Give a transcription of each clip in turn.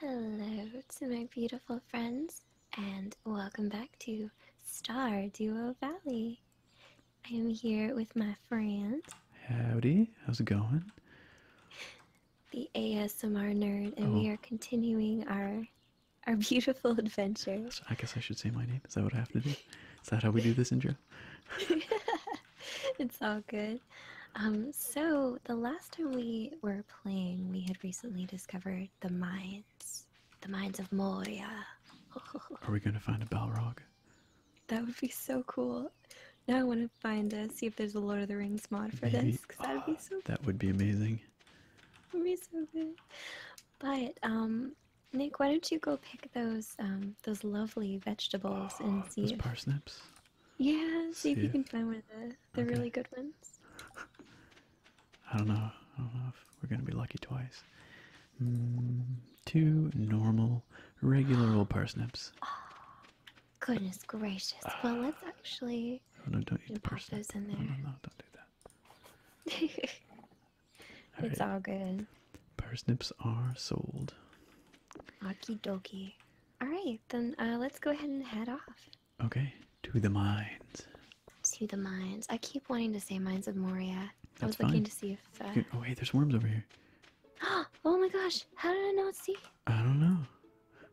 Hello to my beautiful friends, and welcome back to Star Duo Valley. I am here with my friend. Howdy, how's it going? the ASMR nerd, and we oh. are continuing our our beautiful adventure. I guess I should say my name. Is that what I have to do? Is that how we do this intro? it's all good. Um, so the last time we were playing, we had recently discovered the mines, the mines of Moria. are we going to find a Balrog? That would be so cool. I want to find uh, see if there's a Lord of the Rings mod for this because that'd be so. That would be amazing. Would be so good. But um, Nick, why don't you go pick those um those lovely vegetables and see those if, parsnips? Yeah, see, if you can find one of the the okay. really good ones. I don't know. I don't know if we're gonna be lucky twice. Hmm, two normal, regular old parsnips. Ah. Goodness gracious. well, let's actually. No, don't eat Those in there. No, no, don't do that. it's all good. Parsnips are sold. Okie dokie. All right, then uh, let's go ahead and head off. Okay, to the mines. To the mines. I keep wanting to say mines of Moria. That's I was looking to see if. Uh, oh, wait, there's worms over here. oh my gosh! How did I not see I don't know.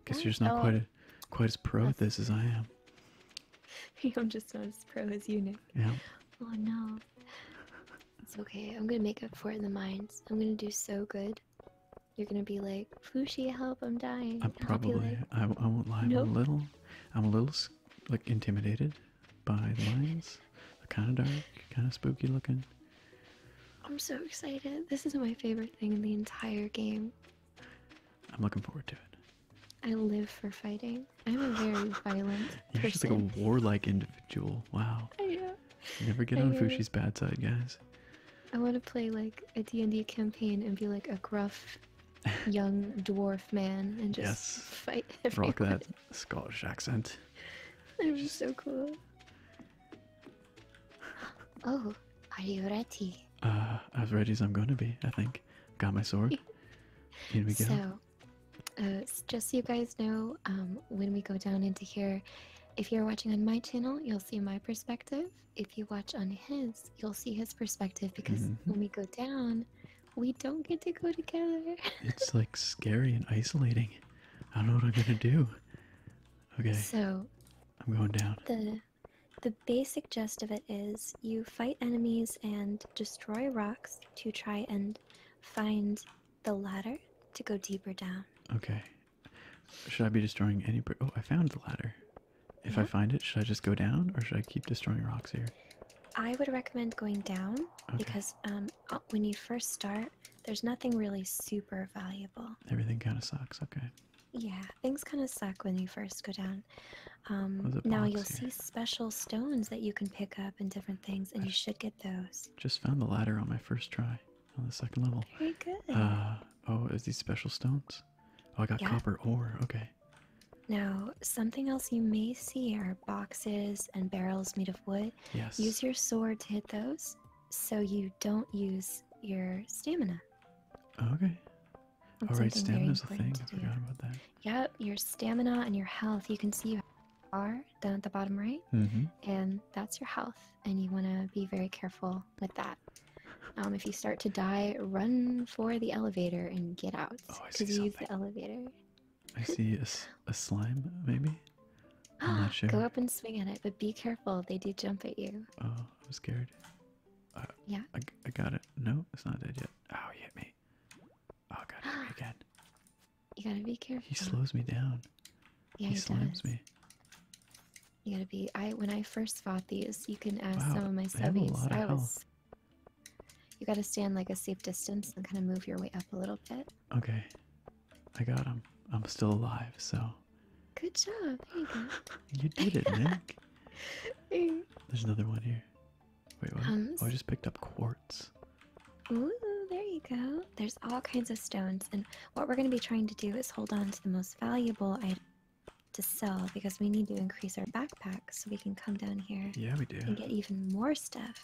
Guess you're just not quite as quite as pro at this as I am. I'm just not as pro as you, Nick. Yeah. Oh no. It's okay. I'm gonna make up for it in the mines. I'm gonna do so good. You're gonna be like, Fushi, help! I'm dying. I'm probably. I, I won't lie. I'm a little. I'm a little like intimidated by the mines. They're kind of dark, kind of spooky looking. I'm so excited. This is my favorite thing in the entire game. I'm looking forward to it. I live for fighting. I'm a very violent. You're just like a warlike individual. Wow. I never get on know. Fushi's bad side, guys. I want to play like a D&D campaign and be like a gruff young dwarf man and just yes. fight everyone. Rock that Scottish accent. That was so cool. Oh, are you ready? Uh, as ready as I'm going to be, I think. Got my sword. Here we go. So, uh, just so you guys know, um, when we go down into here, if you're watching on my channel, you'll see my perspective. If you watch on his, you'll see his perspective because mm-hmm. when we go down, we don't get to go together. it's like scary and isolating. I don't know what I'm gonna do. Okay. So I'm going down. The the basic gist of it is you fight enemies and destroy rocks to try and find the ladder to go deeper down. Okay. Should I be destroying any Oh, I found the ladder. If I find it, should I just go down or should I keep destroying rocks here? I would recommend going down because um, uh, when you first start, there's nothing really super valuable. Everything kind of sucks. Okay. Yeah, things kind of suck when you first go down. Um, now you'll see special stones that you can pick up and different things, and you should get those. Just found the ladder on my first try on the second level. Very good. Uh, oh, is these special stones? Oh, I got copper ore. Okay. Now, something else you may see are boxes and barrels made of wood. Yes. Use your sword to hit those so you don't use your stamina. Okay. All right, stamina is a thing. I forgot about that. Yep, your stamina and your health. You can see you are down at the bottom right, mm-hmm. and that's your health. And you want to be very careful with that. Um, if you start to die, run for the elevator and get out. Because oh, you use the elevator. I see a slime, maybe. I'm sure. Go up and swing at it, but be careful. They do jump at you. Oh, I'm scared. Uh, yeah. I, I got it. No, it's not dead yet. Oh, he hit me. Oh, God, hit again. You gotta be careful. He slows me down. Yeah, he, he slams me. You gotta be. I when I first fought these, you can ask some of my subbies. I was. Health. You gotta stand like a safe distance and kind of move your way up a little bit. Okay. I got him. I'm still alive, so. Good job. you did it, Nick. There's another one here. Wait, what? Oh, I just picked up quartz. Ooh, there you go. There's all kinds of stones, and what we're going to be trying to do is hold on to the most valuable item to sell because we need to increase our backpack so we can come down here. Yeah, we do. And get even more stuff.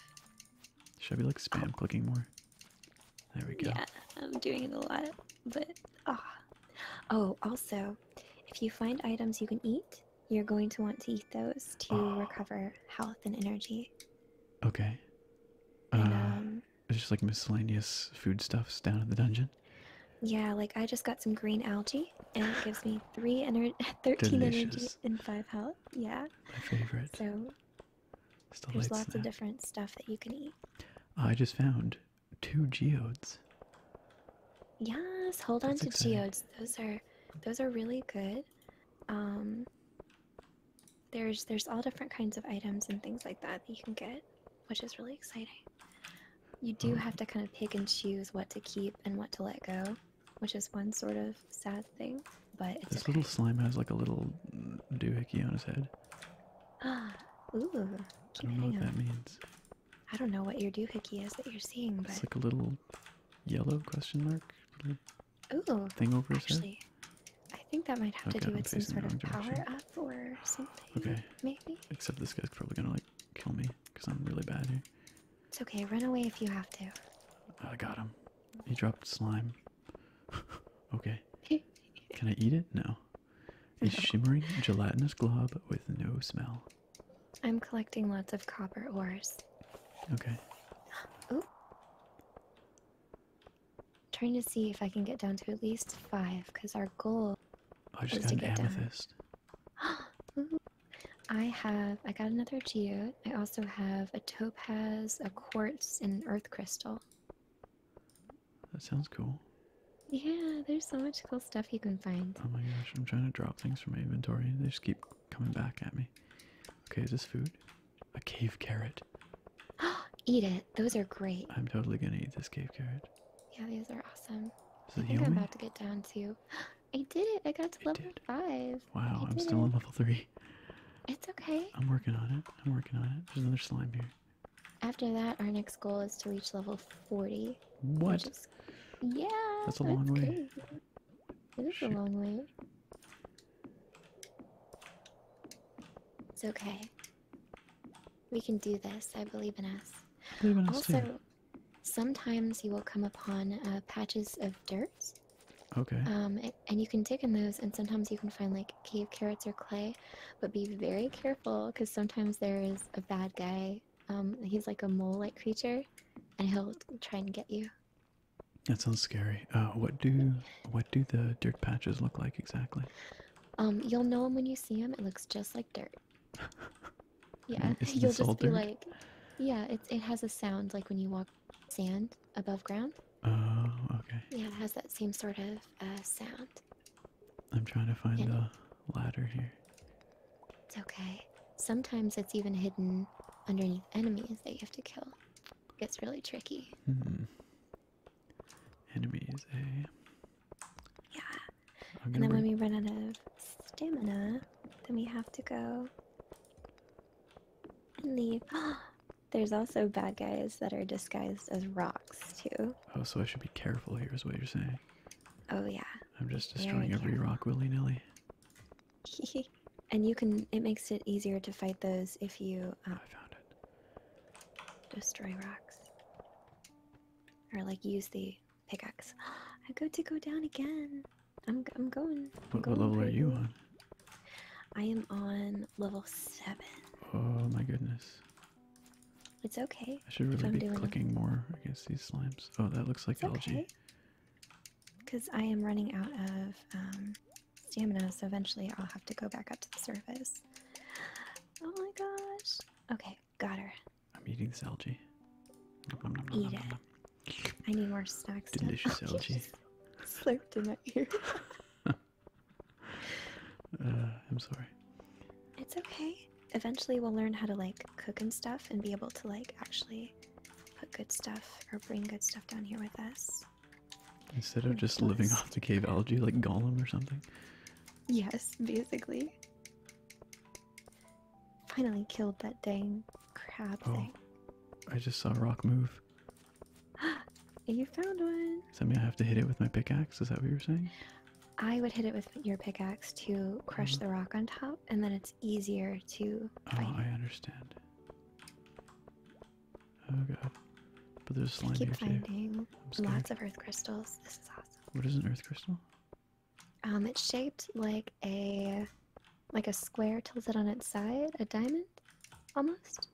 Should I be like spam clicking more? There we go. Yeah, I'm doing it a lot, but ah. Oh, also, if you find items you can eat, you're going to want to eat those to ah. recover health and energy. Okay. Uh, um, it's just like miscellaneous foodstuffs down in the dungeon. Yeah, like I just got some green algae, and it gives me three energy, thirteen energy and five health. Yeah. My favorite. So there's lots of different stuff that you can eat. I just found two geodes. Yes, hold on to geodes. Those are those are really good. Um there's there's all different kinds of items and things like that that you can get, which is really exciting. You do oh. have to kind of pick and choose what to keep and what to let go, which is one sort of sad thing. But this little slime has like a little doohickey on his head. Ooh. I don't know what on. that means. I don't know what your doohickey is that you're seeing, but it's like a little yellow question mark. Ooh. Thing over his actually, I think that might have to do with some sort of power up or something. Okay. Maybe. Except this guy's probably gonna like kill me because I'm really bad here. It's okay. Run away if you have to. I got him. He dropped slime. okay. Can I eat it? No. A shimmering gelatinous glob with no smell. I'm collecting lots of copper ores. Okay. Oh. Trying to see if I can get down to at least five, because our goal I just got an amethyst. down. I have. I got another geode. I also have a topaz, a quartz, and an earth crystal. That sounds cool. Yeah, there's so much cool stuff you can find. Oh my gosh, I'm trying to drop things from my inventory and they just keep coming back at me. Okay, is this food? A cave carrot. eat it. Those are great. I'm totally gonna eat this cave carrot. Yeah, these are awesome. I think I'm about to get down to. I did it. I got to level five. Wow, I am still on level three. It's okay. I'm working on it. I'm working on it. There's another slime here. After that, our next goal is to reach level 40. What? Is... Yeah. That's a long way. It is a long way. It's okay. We can do this. I believe in us. Believe in us also, sometimes you will come upon uh, patches of dirt Okay. Um, and you can dig in those, and sometimes you can find like cave carrots or clay, but be very careful because sometimes there is a bad guy. Um, he's like a mole-like creature, and he'll try and get you. That sounds scary. Uh, what do what do the dirt patches look like exactly? Um, you'll know them when you see them. It looks just like dirt. yeah, you'll just be like, yeah, it it has a sound like when you walk sand above ground. Oh, okay. Yeah, it has that same sort of uh, sound. I'm trying to find the ladder here. It's okay. Sometimes it's even hidden underneath enemies that you have to kill. Gets really tricky. Hmm. Enemies, eh? Yeah. And then when we run out of stamina, then we have to go and leave. There's also bad guys that are disguised as rocks too. Oh, so I should be careful here is what you're saying. Oh yeah. I'm just destroying every rock willy-nilly. and you can it makes it easier to fight those if you um, I found it. Destroy rocks. Or like use the pickaxe. I go to go down again. I'm I'm going. I'm going what level are you on? I am on level seven. Oh my goodness. It's okay. I should really be clicking more against these slimes. Oh, that looks like algae. Because I am running out of um, stamina, so eventually I'll have to go back up to the surface. Oh my gosh. Okay, got her. I'm eating this algae. Eat it. I need more snacks. Delicious algae. Slurped in my ear. Uh, I'm sorry. It's okay. Eventually, we'll learn how to like cook and stuff, and be able to like actually put good stuff or bring good stuff down here with us. Instead of just living off the cave algae like Gollum or something? Yes, basically. Finally killed that dang crab oh, I just saw Rock move. you found one. Does that mean I have to hit it with my pickaxe? Is that what you were saying? I would hit it with your pickaxe to crush mm-hmm. the rock on top, and then it's easier to. Oh, I understand. Oh god. But there's slime I keep here finding lots of earth crystals. This is awesome. What is an earth crystal? Um, it's shaped like a like a square tilted on its side, a diamond. Almost.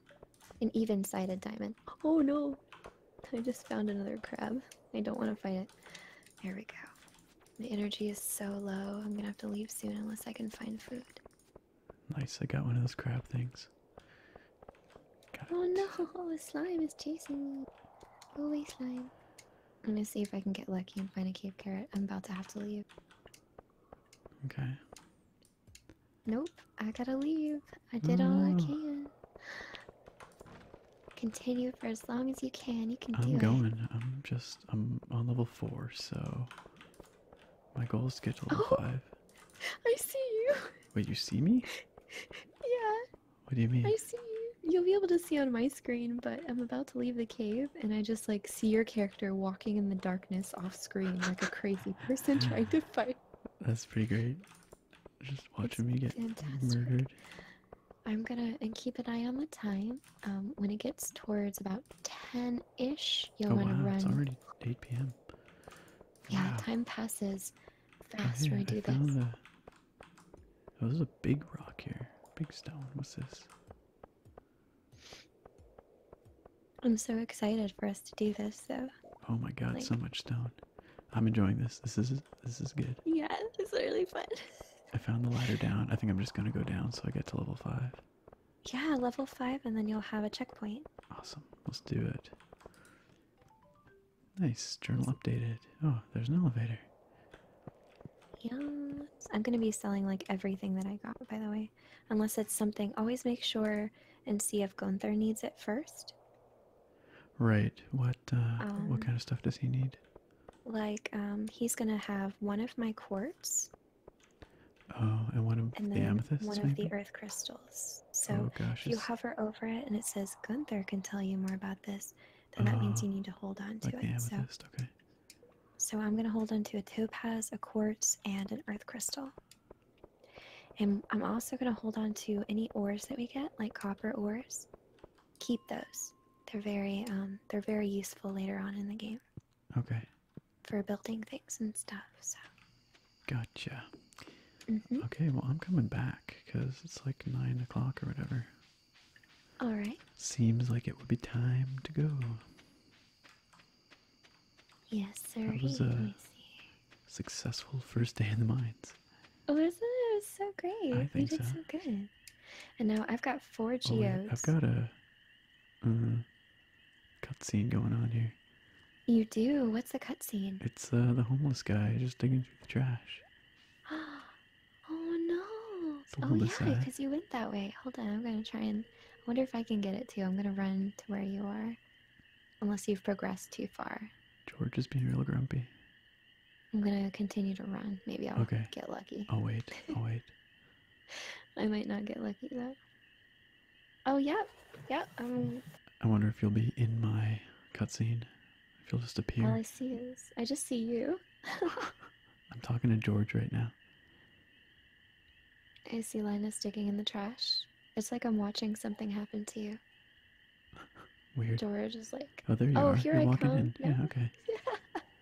An even sided diamond. Oh no! I just found another crab. I don't want to fight it. There we go. The energy is so low, I'm gonna have to leave soon unless I can find food. Nice, I got one of those crab things. oh no, the slime is chasing me. Go away, slime. I'm gonna see if I can get lucky and find a cave carrot. I'm about to have to leave. Okay. Nope, I gotta leave. I did all I mm. can. Continue for as long as you can. You can do it. I'm going. I'm just. I'm on level four, so my goal is to get to level oh, five. I see you. Wait, you see me? yeah. What do you mean? I see you. You'll be able to see on my screen, but I'm about to leave the cave, and I just like see your character walk walking in the darkness off screen like a crazy person trying to fight. That's pretty great. Just watching me get murdered. I'm gonna and keep an eye on the time. Um, when it gets towards about ten ish, you'll oh, want to run. It's already eight p.m. Yeah, time passes faster. I do I this. Oh, there's a big rock here. Big stone. What's this? I'm so excited for us to do this, though. Oh my god, so much stone. I'm enjoying this. This is this is good. Yeah, it's really fun. I found the ladder down. I think I'm just gonna go down so I get to level five. Yeah, level five, and then you'll have a checkpoint. Awesome. Let's do it. Nice journal updated. Oh, there's an elevator. Yeah, I'm gonna be selling like everything that I got, by the way. Unless it's something, always make sure and see if Gunther needs it first. Right. What uh, what um, kind of stuff does he need? Like, um, he's gonna have one of my quartz. Oh, and one of the amethyst. One of the earth crystals. So oh, if you hover over it and it says Gunther can tell you more about this, then that means ah, you need to hold on to it. so, So I'm gonna hold on to a topaz, a quartz, and an earth crystal. And I'm also going to hold on to any ores that we get, like copper ores. Keep those. They're very um, they're very useful later on in the game. Okay. For building things and stuff. So. Gotcha. Mm-hmm. Okay, well I'm coming back because it's like nine o'clock or whatever. All right. Seems like it would be time to go. Yes, sir. That was a successful first day in the mines. Oh, isn't it? It was so great. I you did so. good. And now I've got four geos. Oh, I've got a uh, cutscene going on here. You do? What's the cutscene? It's uh, the homeless guy just digging through the trash. oh no! Oh yeah, because you went that way. Hold on, I'm gonna try and I wonder if I can get it too. I'm gonna run to where you are. Unless you've progressed too far. George is being real grumpy. I'm gonna continue to run. Maybe I'll okay. get lucky. Oh wait. Oh wait. I might not get lucky though. Oh yep. Yep. Um I wonder if you'll be in my cutscene. If you'll just appear. All I see is I just see you. I'm talking to George right now. I see Linus digging in the trash. It's like I'm watching something happen to you. George is like, oh, oh Here I come. Yeah,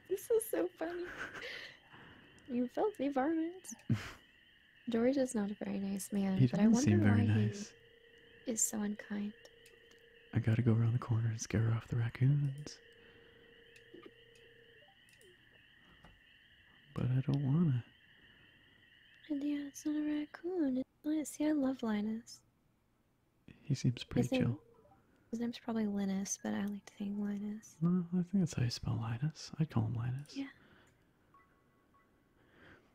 This is so funny. you filthy varmint. George is not a very nice man, he but I wonder seem very why nice. he is so unkind. I gotta go around the corner and scare off the raccoons. But I don't wanna. And yeah, it's not a raccoon. It's nice. See, I love Linus. He seems pretty chill. his name's probably Linus, but I like to saying Linus. No, I think that's how you spell Linus. I call him Linus. Yeah.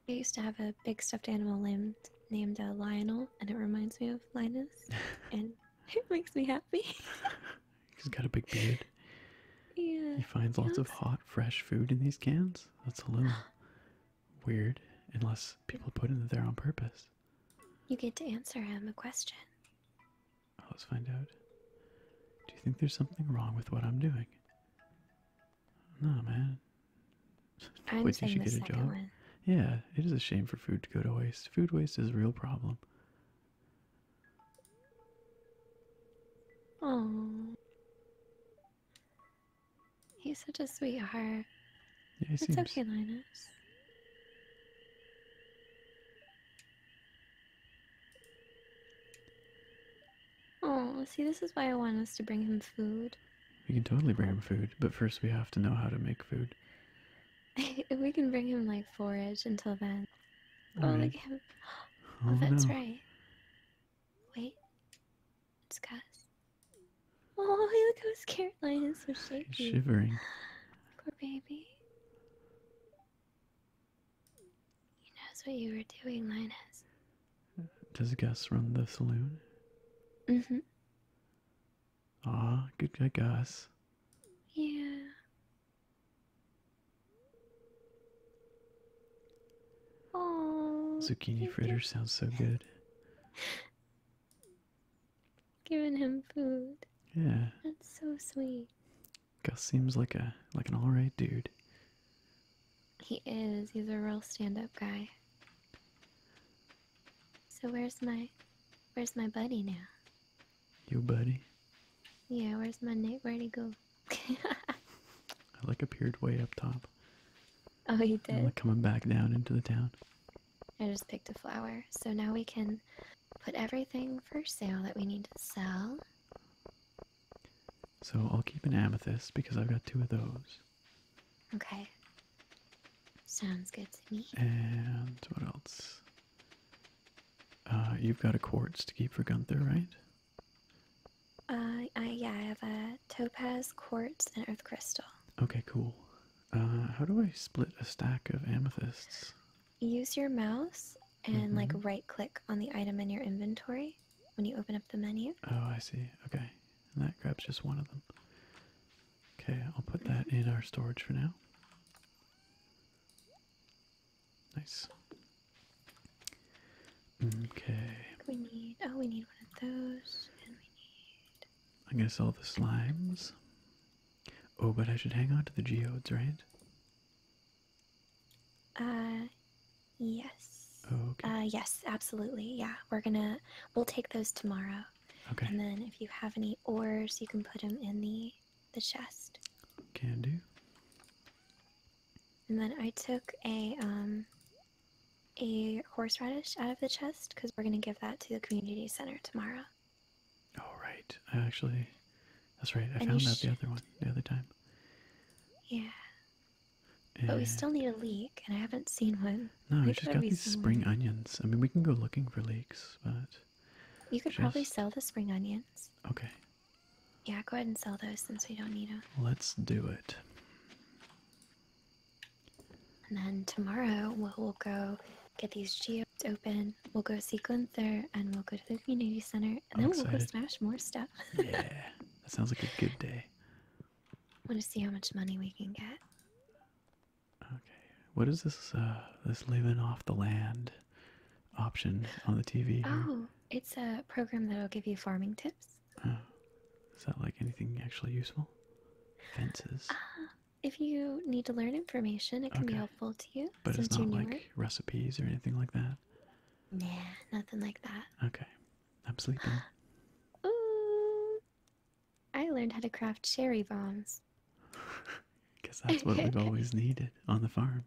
I used to have a big stuffed animal named named uh, Lionel, and it reminds me of Linus, and it makes me happy. He's got a big beard. He finds lots of hot, fresh food in these cans. That's a little weird, unless people put it there on purpose. You get to answer him a question. Oh, let's find out. Do you think there's something wrong with what I'm doing? No, man. I'm Wait, saying you get a second job. Yeah, it is a shame for food to go to waste. Food waste is a real problem. Oh, he's such a sweetheart. Yeah, it's seems... okay, Linus. Oh, see, this is why I want us to bring him food. We can totally bring him food, but first we have to know how to make food. we can bring him like forage until then oh, look at him. Oh, that's right. Wait, it's Gus. Oh, hey, look how scared Caroline is shivering. Poor baby. He knows what you were doing, Linus. Does Gus run the saloon? hmm Ah, good guy, Gus. Yeah. Zucchini fritter sounds so good. Giving him food. Yeah. That's so sweet. Gus seems like a like an alright dude. He is. He's a real stand-up guy. So where's my where's my buddy now? You buddy. Yeah, where's my neck? Where'd he go? I like appeared way up top. Oh, he did. I'm like coming back down into the town. I just picked a flower, so now we can put everything for sale that we need to sell. So I'll keep an amethyst because I've got two of those. Okay. Sounds good to me. And what else? Uh, you've got a quartz to keep for Gunther, right? Uh, yeah, I have a topaz, quartz, and earth crystal. Okay, cool. Uh, how do I split a stack of amethysts? Use your mouse and mm-hmm. like right click on the item in your inventory when you open up the menu. Oh, I see. Okay. And that grabs just one of them. Okay, I'll put that in our storage for now. Nice. Okay. We need. Oh, we need one of those, and we need. I guess all the slimes. Oh, but I should hang on to the geodes, right? Uh, yes. Okay. Uh, yes, absolutely. Yeah, we're gonna. We'll take those tomorrow. Okay. And then if you have any ores, you can put them in the the chest. Can And then I took a um a horseradish out of the chest because we're gonna give that to the community center tomorrow. Oh right, I actually, that's right. I found that the other one the other time. Yeah. but we still need a leek, and I haven't seen one. No, we just got these spring onions. I mean, we can go looking for leeks, but. You could probably sell the spring onions. Okay, yeah, go ahead and sell those since we don't need them. Let's do it. And then tomorrow we'll, go get these geodes open. We'll go sequence there, and we'll go to the community center, and then we'll go smash more stuff. yeah, that sounds like a good day. want to see how much money we can get. Okay, what is this? Uh, this living off the land? option on the TV. Oh, it's a program that'll give you farming tips. Oh, is that like anything actually useful? Fences. Uh, if you need to learn information, it can be helpful to you. But it's not like recipes or anything like that. Yeah, nothing like that. Okay, I'm sleeping. Ooh, I learned how to craft cherry bombs. because that's what we've always needed on the farm.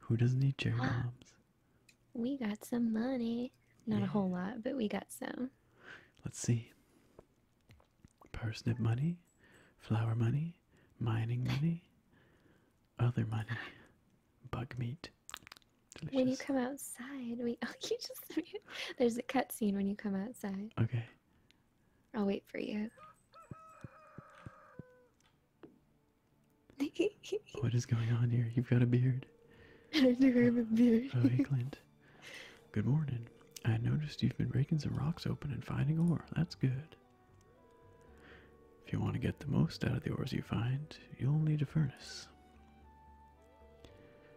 Who doesn't need cherry bombs? We got some money. Not a whole lot, but we got some. Let's see. Parsnip money, flower money, mining money, other money, bug meat. When you come outside, we oh you just there's a cutscene when you come outside. Okay. I'll wait for you. what is going on here? You've got a beard. I do have a beard. oh, hey, Clint. Good morning. I noticed you've been breaking some rocks open and finding ore. That's good. If you want to get the most out of the ores you find, you'll need a furnace.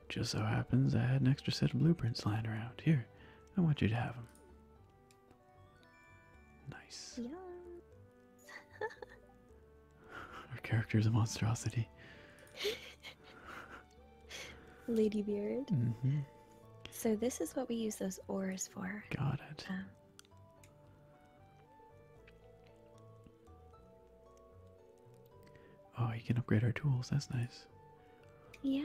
Just so happens I had an extra set of blueprints lying around. Here, I want you to have them. Nice. Yeah. character is a monstrosity. Ladybeard. Mm-hmm. So this is what we use those oars for. Got it. Um, oh, you can upgrade our tools. That's nice. Yeah.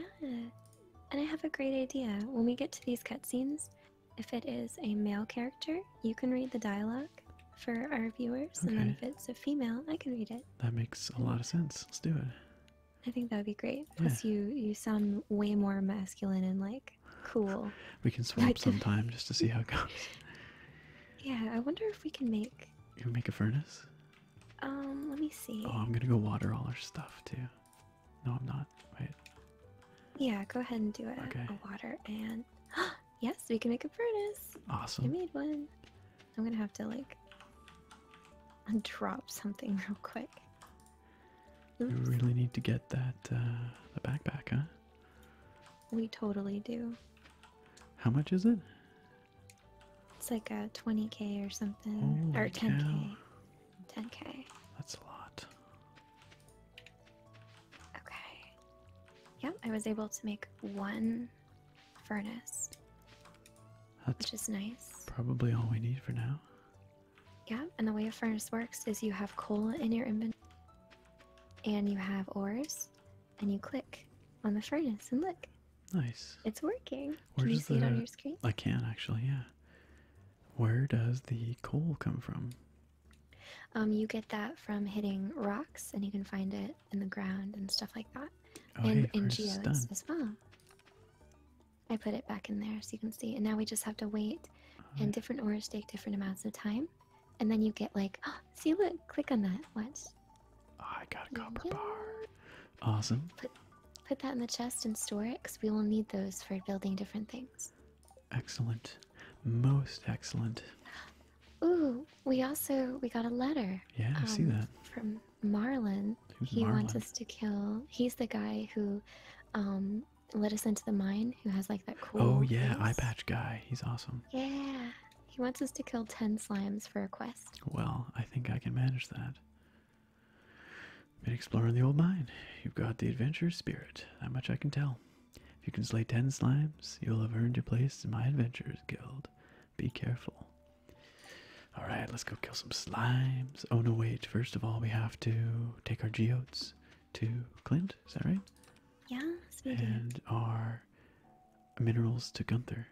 And I have a great idea. When we get to these cutscenes, if it is a male character, you can read the dialogue for our viewers, and then if it's a female, I can read it. That makes a lot of sense. Let's do it. I think that would be great. Plus, you you sound way more masculine and like cool. we can swap like sometime just to see how it goes. Yeah, I wonder if we can make. You can make a furnace. Um, let me see. Oh, I'm gonna go water all our stuff too. No, I'm not. Wait. Yeah, go ahead and do it. Okay. water and yes, we can make a furnace. Awesome. I made one. I'm gonna have to like drop something real quick. Oops. You really need to get that uh, the backpack, huh? We totally do. How much is it? It's like a 20k or something, or 10k. 10k. That's a lot. Okay. Yep, I was able to make one furnace. That's which is nice. Probably all we need for now. Yeah, and the way a furnace works is you have coal in your inventory, and you have ores, and you click on the furnace, and look. Nice. It's working. can you see it on your screen? I can actually, yeah. Where does the coal come from? Um, you get that from hitting rocks, and you can find it in the ground and stuff like that, oh, and in geodes as well. I put it back in there so you can see, and now we just have to wait. Uh-huh. And different ores take different amounts of time, and then you get like, oh, see, look, click on that. What? I got a copper yeah. bar. Awesome. Put that in the chest and store it because we will need those for building different things. Excellent. Most excellent. Ooh, we also we got a letter. Yeah, I see um, that. From Marlin. Who's he wants us to kill he's the guy who um let us into the mine who has like that cool Oh yeah, eye patch guy. He's awesome. Yeah. He wants us to kill ten slimes for a quest. Well, I think I can manage that. Been exploring the old mine. You've got the adventurer spirit. That much I can tell. If you can slay ten slimes, you'll have earned your place in my adventurers guild. Be careful. Alright, let's go kill some slimes. Oh no, wait. First of all, we have to take our geodes to Clint. Is that right? Yeah, And our minerals to Gunther.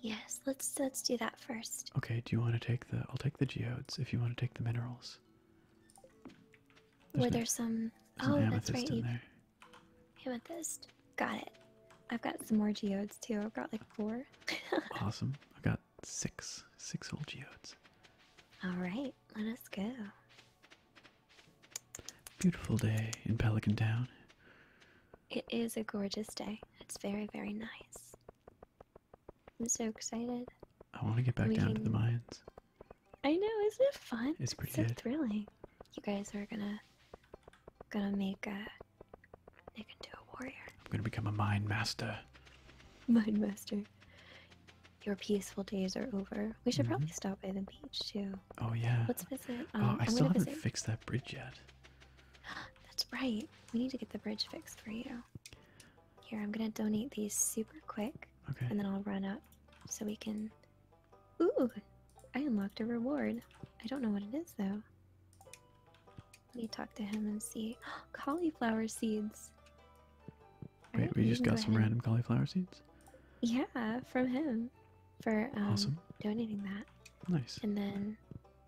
Yes, let's let's do that first. Okay, do you want to take the I'll take the geodes if you want to take the minerals. Were there some Oh, that's right. In Amethyst. Got it. I've got some more geodes too. I've got like four. awesome. I've got six. Six whole geodes. Alright, let us go. Beautiful day in Pelican Town. It is a gorgeous day. It's very, very nice. I'm so excited. I want to get back down to the mines. I know, isn't it fun? It's pretty so thrilling. You guys are gonna gonna make a Nick into a warrior. I'm gonna become a mind master. Mind master. Your peaceful days are over. We should probably mm-hmm. stop by the beach too. Oh yeah. Let's visit. oh, um, I still haven't fixed that bridge yet. That's right. We need to get the bridge fixed for you. Here, I'm gonna donate these super quick, and then I'll run up so we can. Ooh, I unlocked a reward. I don't know what it is though. Let me talk to him and see. Oh, cauliflower seeds. Wait, we just got some random cauliflower seeds. Yeah, from him, for um, awesome. donating that. Nice. And then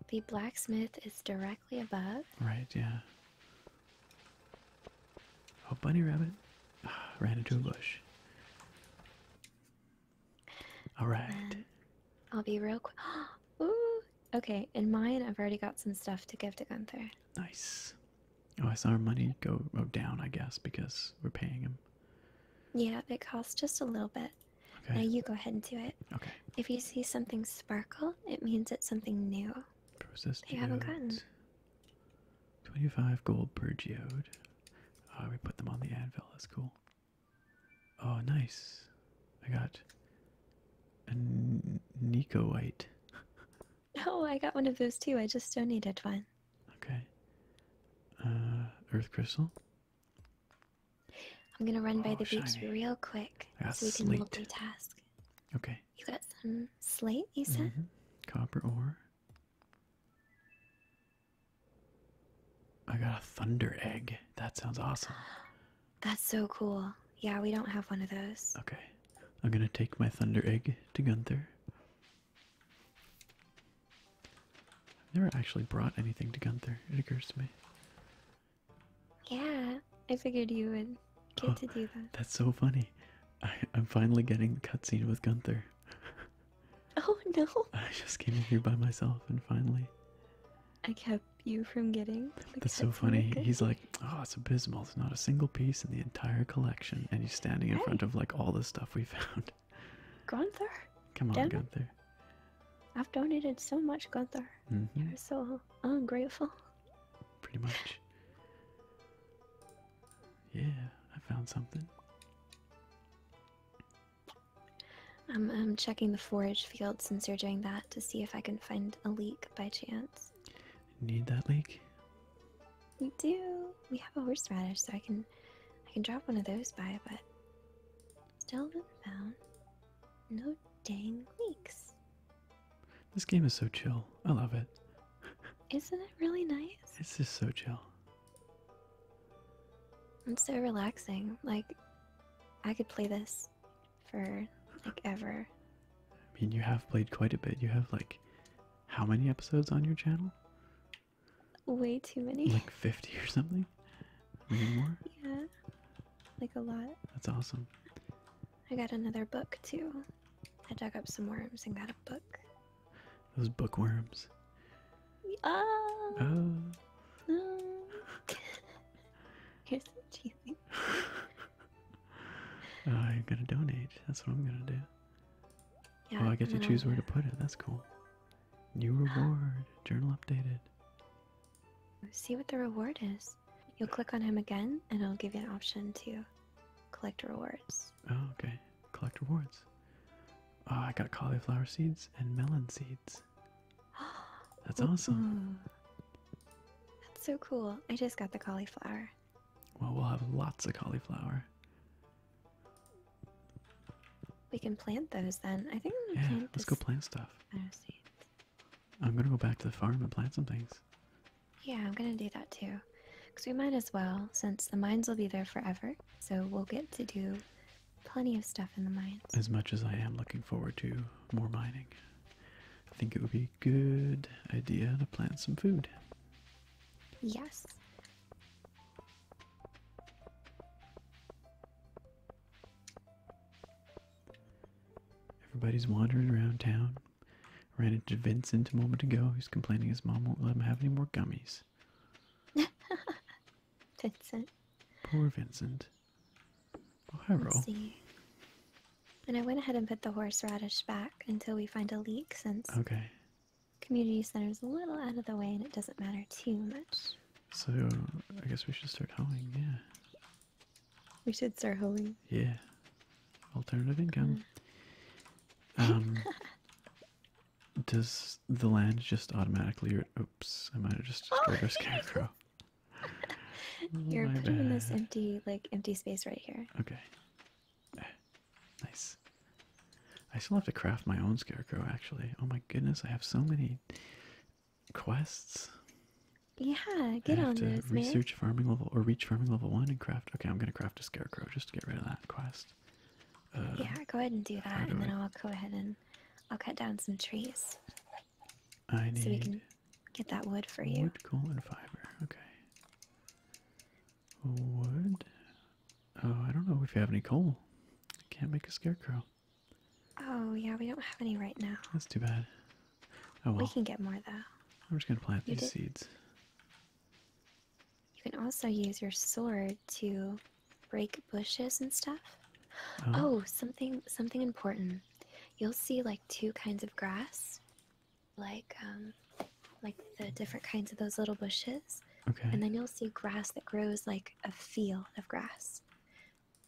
the blacksmith is direct above. Right, yeah. Oh, bunny rabbit ran into a bush. All right. I'll be real quick. Ooh, okay. In mine, I've already got some stuff to give to Gunther. Nice. Oh, I saw our money go down, I guess, because we're paying him. Yeah, it costs just a little bit. Okay. Now you go ahead and do it. Okay. If you see something sparkle, it means it's something new. Processed they 25 gold per geode. Uh, we put them on the anvil, that's cool. Oh, nice. I got a Nicoite. oh, I got one of those too. I just donated one. Okay. earth crystal. I'm gonna run by oh, the shiny. real quick so we can multitask. Okay. You got some slate, you said? Mm-hmm. Copper ore. I got a thunder egg. That sounds awesome. That's so cool. Yeah, we don't have one of those. Okay. I'm gonna take my thunder egg to Gunther. I've never actually brought anything to Gunther, it occurs to me. Yeah, I figured you would get oh, to do that. That's so funny. I, I'm finally getting the cutscene with Gunther. Oh no! I just came in here by myself, and finally. I kept you from getting. that's so funny. He's like, "Oh, it's abysmal. It's not a single piece in the entire collection," and he's standing in front of like all the stuff we found. Gunther. Come on, Gunther. I've donated so much, Gunther. Mm-hmm. You're so ungrateful. Pretty much. Yeah, I found something. I'm, I'm checking the forage field since you're doing that to see if I can find a leak by chance. Need that leak? We do. We have a horseradish, so I can I can drop one of those by, but still haven't found no dang weeks. This game is so chill. I love it. Isn't it really nice? It's just so chill. It's so relaxing. Like, I could play this for like ever. I mean, you have played quite a bit. You have like how many episodes on your channel? Way too many. Like 50 or something? Yeah like a lot. That's awesome. I got another book too. I dug up some worms and got a book. Those bookworms. Oh. Here's some cheesy. oh, uh, you're gonna donate. That's what I'm gonna do. Yeah, oh, I get to choose where to put it. That's cool. New reward. Journal updated. see what the reward is. You'll click on him again, and it'll give you an option to collect rewards. Oh, okay. Collect rewards. Oh, I got cauliflower seeds and melon seeds. That's awesome. That's so cool. I just got the cauliflower. Well, we'll have lots of cauliflower. We can plant those then. I think yeah, Let's go plant stuff. Seeds. I'm gonna go back to the farm and plant some things. Yeah, I'm gonna do that too. Because we might as well, since the mines will be there forever. So we'll get to do plenty of stuff in the mines. As much as I am looking forward to more mining, I think it would be a good idea to plant some food. Yes. Everybody's wandering around town. Ran into Vincent a moment ago, He's complaining his mom won't let him have any more gummies. Vincent. Poor Vincent. Oh, hi, Roll. And I went ahead and put the horseradish back until we find a leak since community center's a little out of the way and it doesn't matter too much. So I guess we should start hoeing, yeah. We should start hoeing. Yeah. Alternative mm-hmm. income. Um Does the land just automatically oops, I might have just destroyed our scarecrow. You're oh, putting in this empty like empty space right here. Okay. Eh, nice. I still have to craft my own scarecrow actually. Oh my goodness, I have so many quests. Yeah, get on to this, Research farming level or reach farming level one and craft. Okay, I'm gonna craft a scarecrow just to get rid of that quest. Uh, yeah, go ahead and do that, and then I... will go ahead and I'll cut down some trees. So we can get that wood for you. Wood, coal, and fiber. Okay. Wood. Oh, I don't know if you have any coal. can't make a scarecrow. Oh yeah, we don't have any right now. That's too bad. Oh well. We can get more though. I'm just gonna plant these seeds. You can also use your sword to break bushes and stuff. Oh. oh, something something important. You'll see like two kinds of grass, like um, like the different kinds of those little bushes. Okay. And then you'll see grass that grows like a field of grass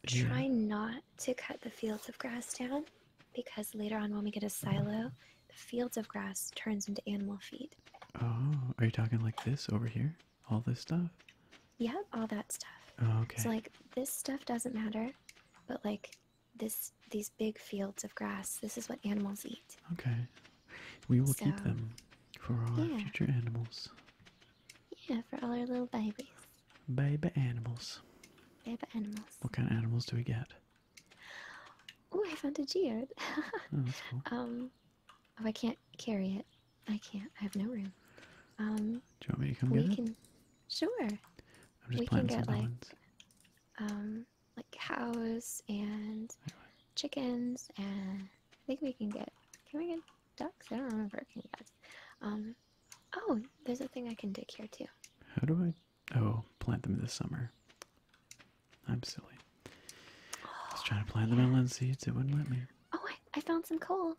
try not to cut the fields of grass down because later on when we get a silo the fields of grass turns into animal feed oh are you talking like this over here all this stuff yeah all that stuff oh, okay so like this stuff doesn't matter but like this these big fields of grass this is what animals eat okay we will keep them for our future animals yeah for all our little babies Baby animals. Baby animals. What kind of animals do we get? Oh, I found a geode. oh, cool. Um, oh, I can't carry it. I can't. I have no room. Um, do you want me to come we get it? Sure. I'm just we planting can get like, um, like cows and chickens, and I think we can get. Can we get ducks? I don't remember any Um, oh, there's a thing I can dig here too. How do I? Oh, plant them this summer. I'm silly. I was trying to plant the them melon seeds. It wouldn't let me. Oh, I, found some coal.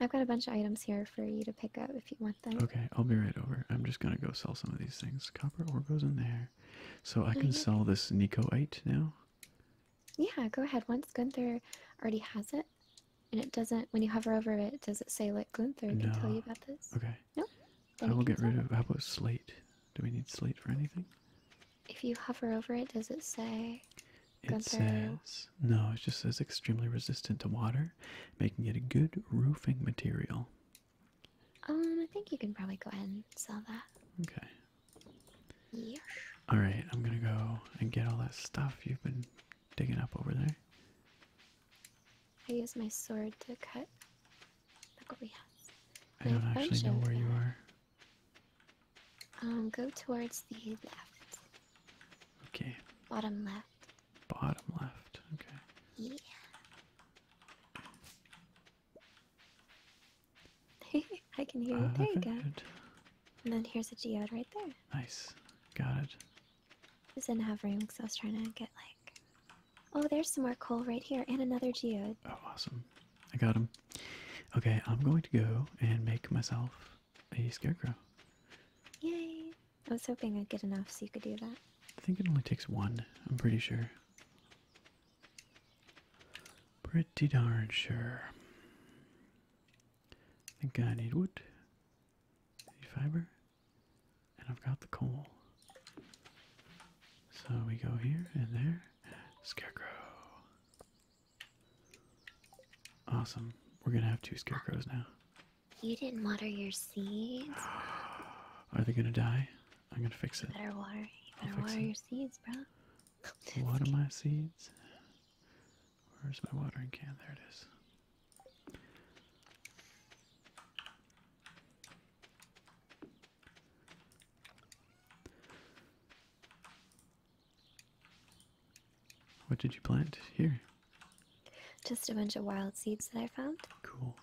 I've got a bunch of items here for you to pick up if you want them. Okay, I'll be right over. I'm just gonna go sell some of these things. Copper ore goes in there, so I oh, can sell this Nicoite now. Yeah, go ahead. Once Gunther already has it, and it doesn't, when you hover over it, does it say like Gunther no. can tell you about this? Okay. No. I will get rid of, how about slate? Do we need slate for anything? If you hover over it, does it say It says, no, it just says extremely resistant to water, making it a good roofing material. Um, I think you can probably go ahead and sell that. Okay. Yeah. All right, I'm gonna go and get all that stuff you've been digging up over there. I use my sword to cut. Look what we have. I don't actually know where you are. Um, go towards the left. Okay. Bottom left. Bottom left. Okay. Yeah. I can hear you. Uh, there you go. And then here's a geode right there. Nice. Got it. This didn't have room because I was trying to get like. Oh, there's some more coal right here and another geode. Oh, awesome. I got them. Okay, I'm going to go and make myself a scarecrow. Yay. I was hoping I'd get enough so you could do that. I think it only takes one, I'm pretty sure. Pretty darn sure. I think I need wood, fiber, and I've got the coal. So we go here and there. Scarecrow. Awesome. We're gonna have two scarecrows now. You didn't water your seeds. Are they gonna die? I'm gonna fix it. better water. You better water your seeds, bro. water my seeds. Where's my watering can? There it is. What did you plant here? Just a bunch of wild seeds that I found. Cool.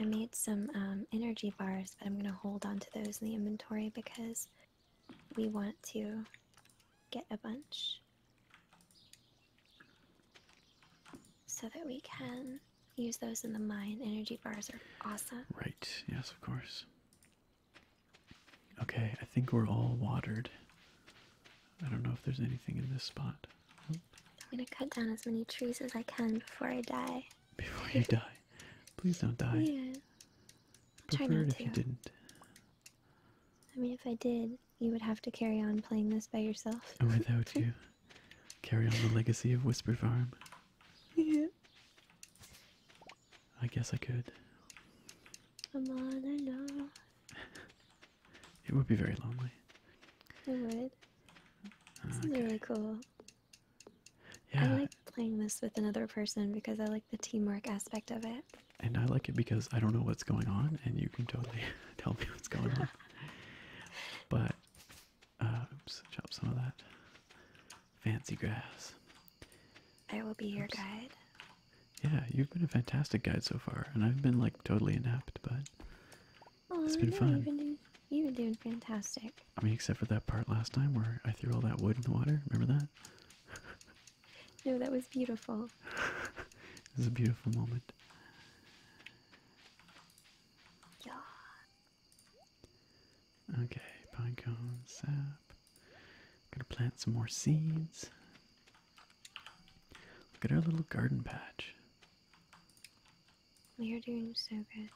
I made some um, energy bars, but I'm going to hold on to those in the inventory because we want to get a bunch so that we can use those in the mine. Energy bars are awesome. Right, yes, of course. Okay, I think we're all watered. I don't know if there's anything in this spot. I'm gonna cut down as many trees as I can before I die. Before you die? Please don't die preferred if to. you didn't. I mean, if I did, you would have to carry on playing this by yourself. Oh, without you. Carry on the legacy of Whisper Farm. Yeah. I guess I could. Come on, I know. it would be very lonely. It would. Ah, this really cool. I like playing this with another person because I like the teamwork aspect of it. And I like it because I don't know what's going on, and you can totally tell me what's going on. but, uh, oops, chop some of that fancy grass. I will be your guide. Yeah, you've been a fantastic guide so far, and I've been like totally inept, but it's been fun. you've been doing fantastic. I mean, except for that part last time where I threw all that wood in the water. Remember that? no, that was beautiful. it was a beautiful moment. Yeah. Okay, pine cone sap. I'm gonna plant some more seeds. Look at our little garden patch. We are doing so good.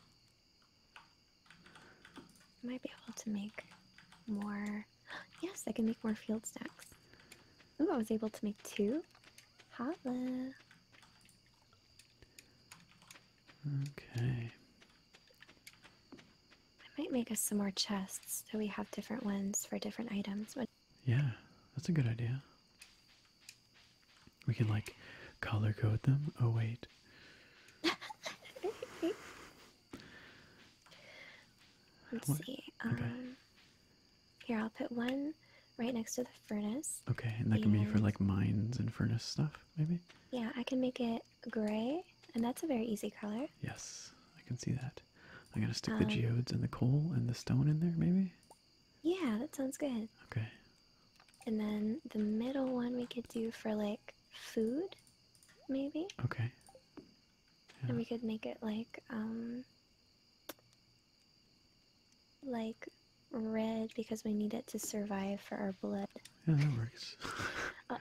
I might be able to make more. Yes, I can make more field stacks. Ooh, I was able to make two. Holla. Okay. I might make us some more chests so we have different ones for different items. yeah, that's a good idea. We can like color code them. Oh, wait. Let's see. okay. Um, here, I'll put one right next to the furnace. Okay, and that can be for like mines and furnace stuff, maybe? Yeah, I can make it gray, and that's a very easy color. Yes, I can see that. I'm gonna stick the um, geodes and the coal and the stone in there, maybe? Yeah, that sounds good. Okay. And then the middle one we could do for like food maybe. Okay. And we could make it like um like red because we need it to survive for our blood. Yeah, that works. Uh,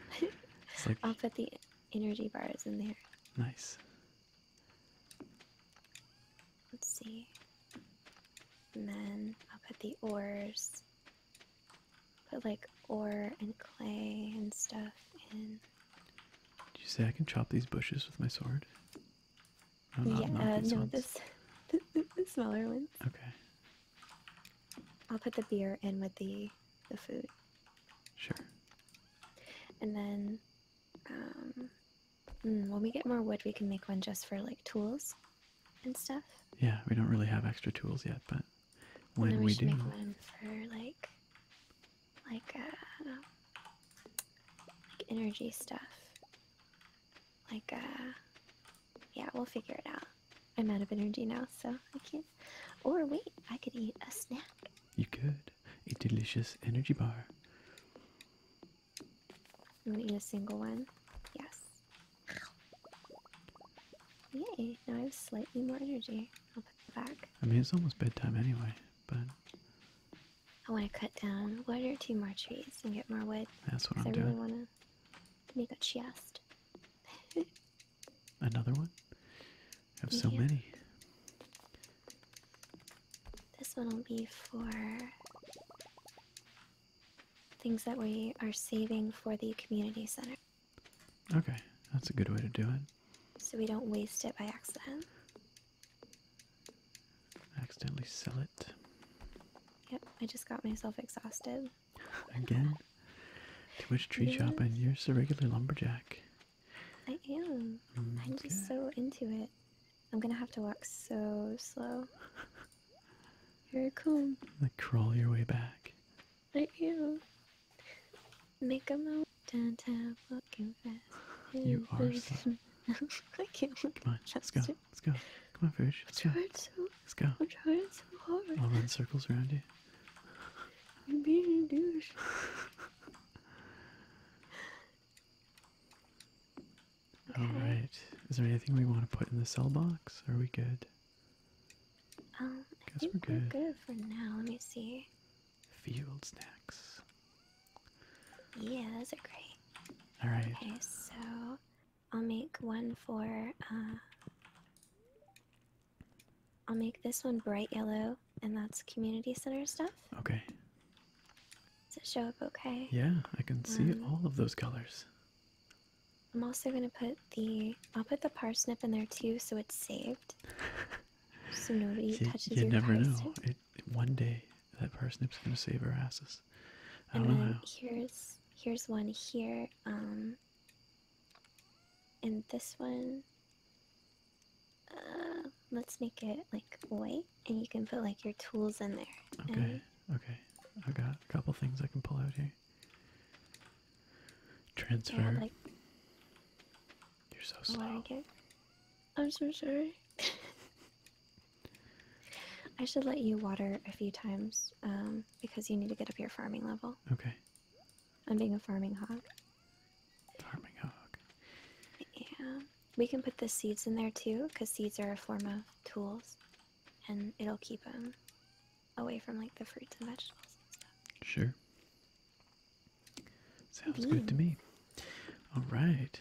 I'll, I'll put the energy bars in there. Nice. Let's see. And then I'll put the ores put like ore and clay and stuff in. Do you say I can chop these bushes with my sword? yeah, uh, no, the, smaller ones. Okay. I'll put the beer in with the the food. Sure. And then, um, mm, when we get more wood, we can make one just for like tools and stuff. Yeah, we don't really have extra tools yet, but when we, do. Make one for like, uh, like energy stuff. Like uh, yeah, we'll figure it out. I'm out of energy now, so I can't. Or wait, I could eat a snack. You could a delicious energy bar. You want to eat a single one. Yes. Yay, now I have slightly more energy. I'll put that back. I mean, it's almost bedtime anyway, but. I want to cut down one or two more trees and get more wood. That's what I'm doing. I really want to make a chest. Another one? I have so many. This one will be for things that we are saving for the community center. Okay, that's a good way to do it. So we don't waste it by accident. Accidentally sell it. Yep, I just got myself exhausted. Again? too much tree chopping. you're a regular lumberjack. I am. I'm just so into it. I'm gonna have to walk so slow. You're cool. Like crawl your way back. Let you make a mountain tap walking fast. You are so... I can't Come on, let's go. Let's go. Come on, Fish. Let's go. Let's go. I'm trying so hard. I'll run circles around you. I'm being a douche. All right. Is there anything we want to put in the cell box? Are we good? Um, I think we're good. for now. Let me see. Field snacks. Yeah, those are great. All right. Okay, so I'll make one for. Uh, I'll make this one bright yellow, and that's community center stuff. Okay. Does it show up okay? Yeah, I can see um, all of those colors. I'm also gonna put the I'll put the parsnip in there too, so it's saved. so nobody you, touches you never know. one day that parsnip's gonna save our asses. I don't and know. Here's here's one here. Um, and this one. Uh, let's make it like white, and you can put like your tools in there. Okay. And... Okay. I got a couple things I can pull out here. Transfer. You're so slow. I'm so sorry. I should let you water a few times um, because you need to get up your farming level. Okay. I'm being a farming hog. Farming hog. Yeah. We can put the seeds in there too because seeds are a form of tools and it'll keep them away from like the fruits and vegetables and stuff. Sure. Sounds good to me. All right.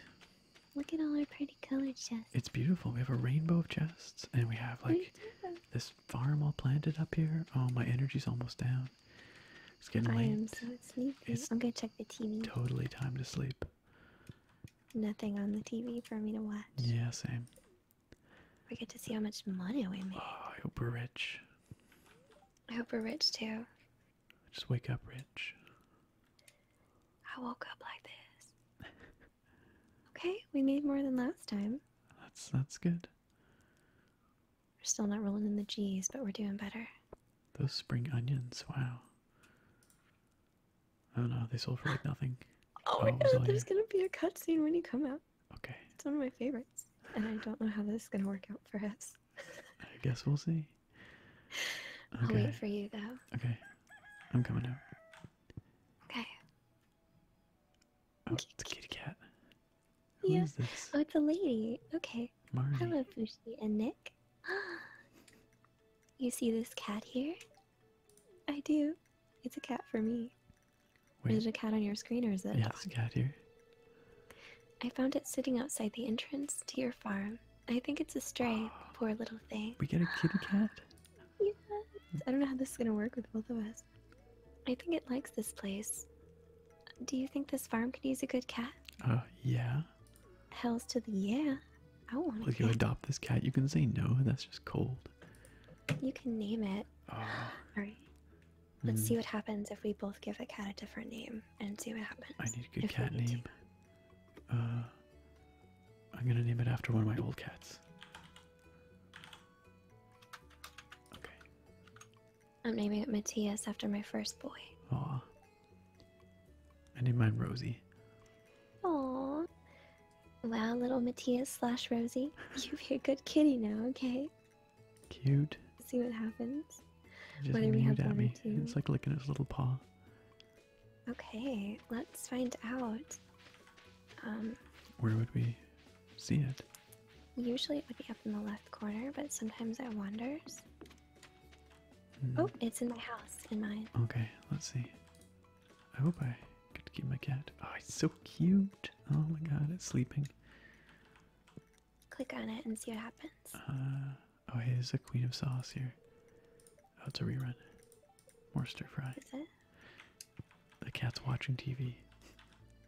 Look at all our pretty colored chests. It's beautiful. We have a rainbow of chests, and we have like this farm all planted up here. Oh, my energy's almost down. It's getting late. I am so sleepy. I'm gonna check the TV. Totally time to sleep. Nothing on the TV for me to watch. Yeah, same. We get to see how much money we make. Oh, I hope we're rich. I hope we're rich too. Just wake up rich. I woke up like this. okay, we made more than last time. That's that's good. We're still not rolling in the G's, but we're doing better. Those spring onions, wow. Oh no, they sold for like nothing. oh, oh my god, there's gonna be a cutscene when you come out. Okay. It's one of my favorites, and I don't know how this is gonna work out for us. I guess we'll see. I'll wait for you though. Okay. I'm coming over. Okay. Oh, it's a kitty cat. Who this? Oh, it's a lady. Okay. Marnie. Hello, Fushi and Nick. Ah. You see this cat here? I do. It's a cat for me. Is it a cat on your screen or is it? Yeah, it's a cat here. I found it sitting outside the entrance to your farm. I think it's a stray, poor little thing. We get a kitty cat? yes. I don't know how this is going to work with both of us. I think it likes this place. Do you think this farm can use a good cat? Oh, yeah. Hells to the yeah. I want Will you adopt this cat? You can say no, that's just cold. You can name it. Ah. All right. Let's hmm. see what happens if we both give a cat a different name and see what happens. I need a good cat name. Uh, I'm gonna name it after one of my old cats. Okay. I'm naming it Matthias after my first boy. Aw. I named mine Rosie. Aw. Wow, little Matthias slash Rosie, you be a good kitty now, okay? Cute. See what happens. Just what do It's like licking his little paw. Okay, let's find out. Um, Where would we see it? Usually it would be up in the left corner, but sometimes it wanders. Hmm. Oh, it's in my house, in mine. Okay, let's see. I hope I could keep my cat. Oh, it's so cute. Oh my god, it's sleeping. Click on it and see what happens. Uh, oh, hey, there's a queen of sauce here. Oh, it's a rerun. More stir fry. The cat's watching TV.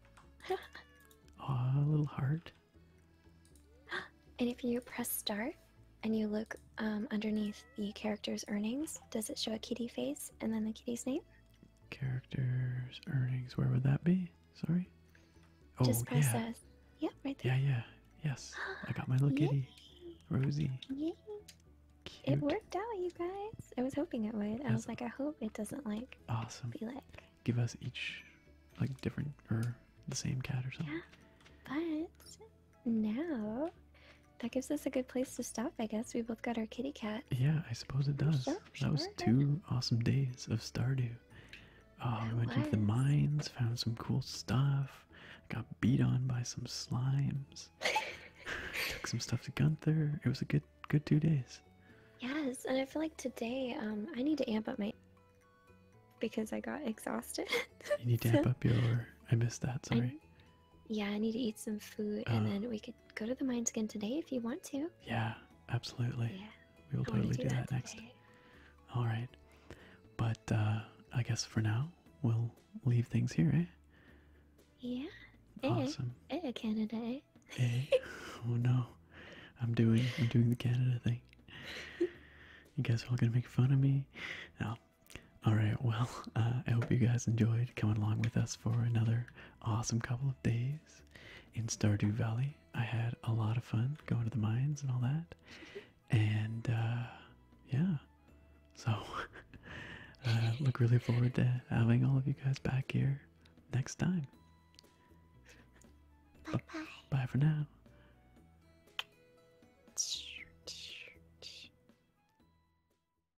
a little heart. And if you press start and you look um, underneath the character's earnings, does it show a kitty face and then the kitty's name? Characters, earnings, where would that be? Sorry. Oh, Just press yeah. Yeah, yeah. Yes. I got my little kitty. Rosie. Yay. It worked out, you guys. I was hoping it would. I was like, I hope it doesn't like awesome. be like give us each like different or the same cat or something. Yeah. But now that gives us a good place to stop, I guess. We both got our kitty cat. Yeah, I suppose it does. That was two awesome days of Stardew. Oh, we went into the mines, found some cool stuff, got beat on by some slimes, took some stuff to Gunther. It was a good good two days. Yes, and I feel like today um I need to amp up my because I got exhausted. you need to amp up your I missed that, sorry. Yeah, I need to eat some food, and uh-huh. then we could go to the mines again today if you want to. Yeah, absolutely. Yeah, we will totally do, that, next. All right, but uh, I guess for now we'll leave things here, eh? Yeah. Eh. Awesome. Eh, Canada. Eh? eh? Oh no, I'm doing I'm doing the Canada thing. You guys are all gonna make fun of me. No. All right. Well, uh, I hope you guys enjoyed coming along with us for another awesome couple of days in Stardew Valley. I had a lot of fun going to the mines and all that. And uh, yeah, so uh, look really forward to having all of you guys back here next time. Bye bye. Bye for now.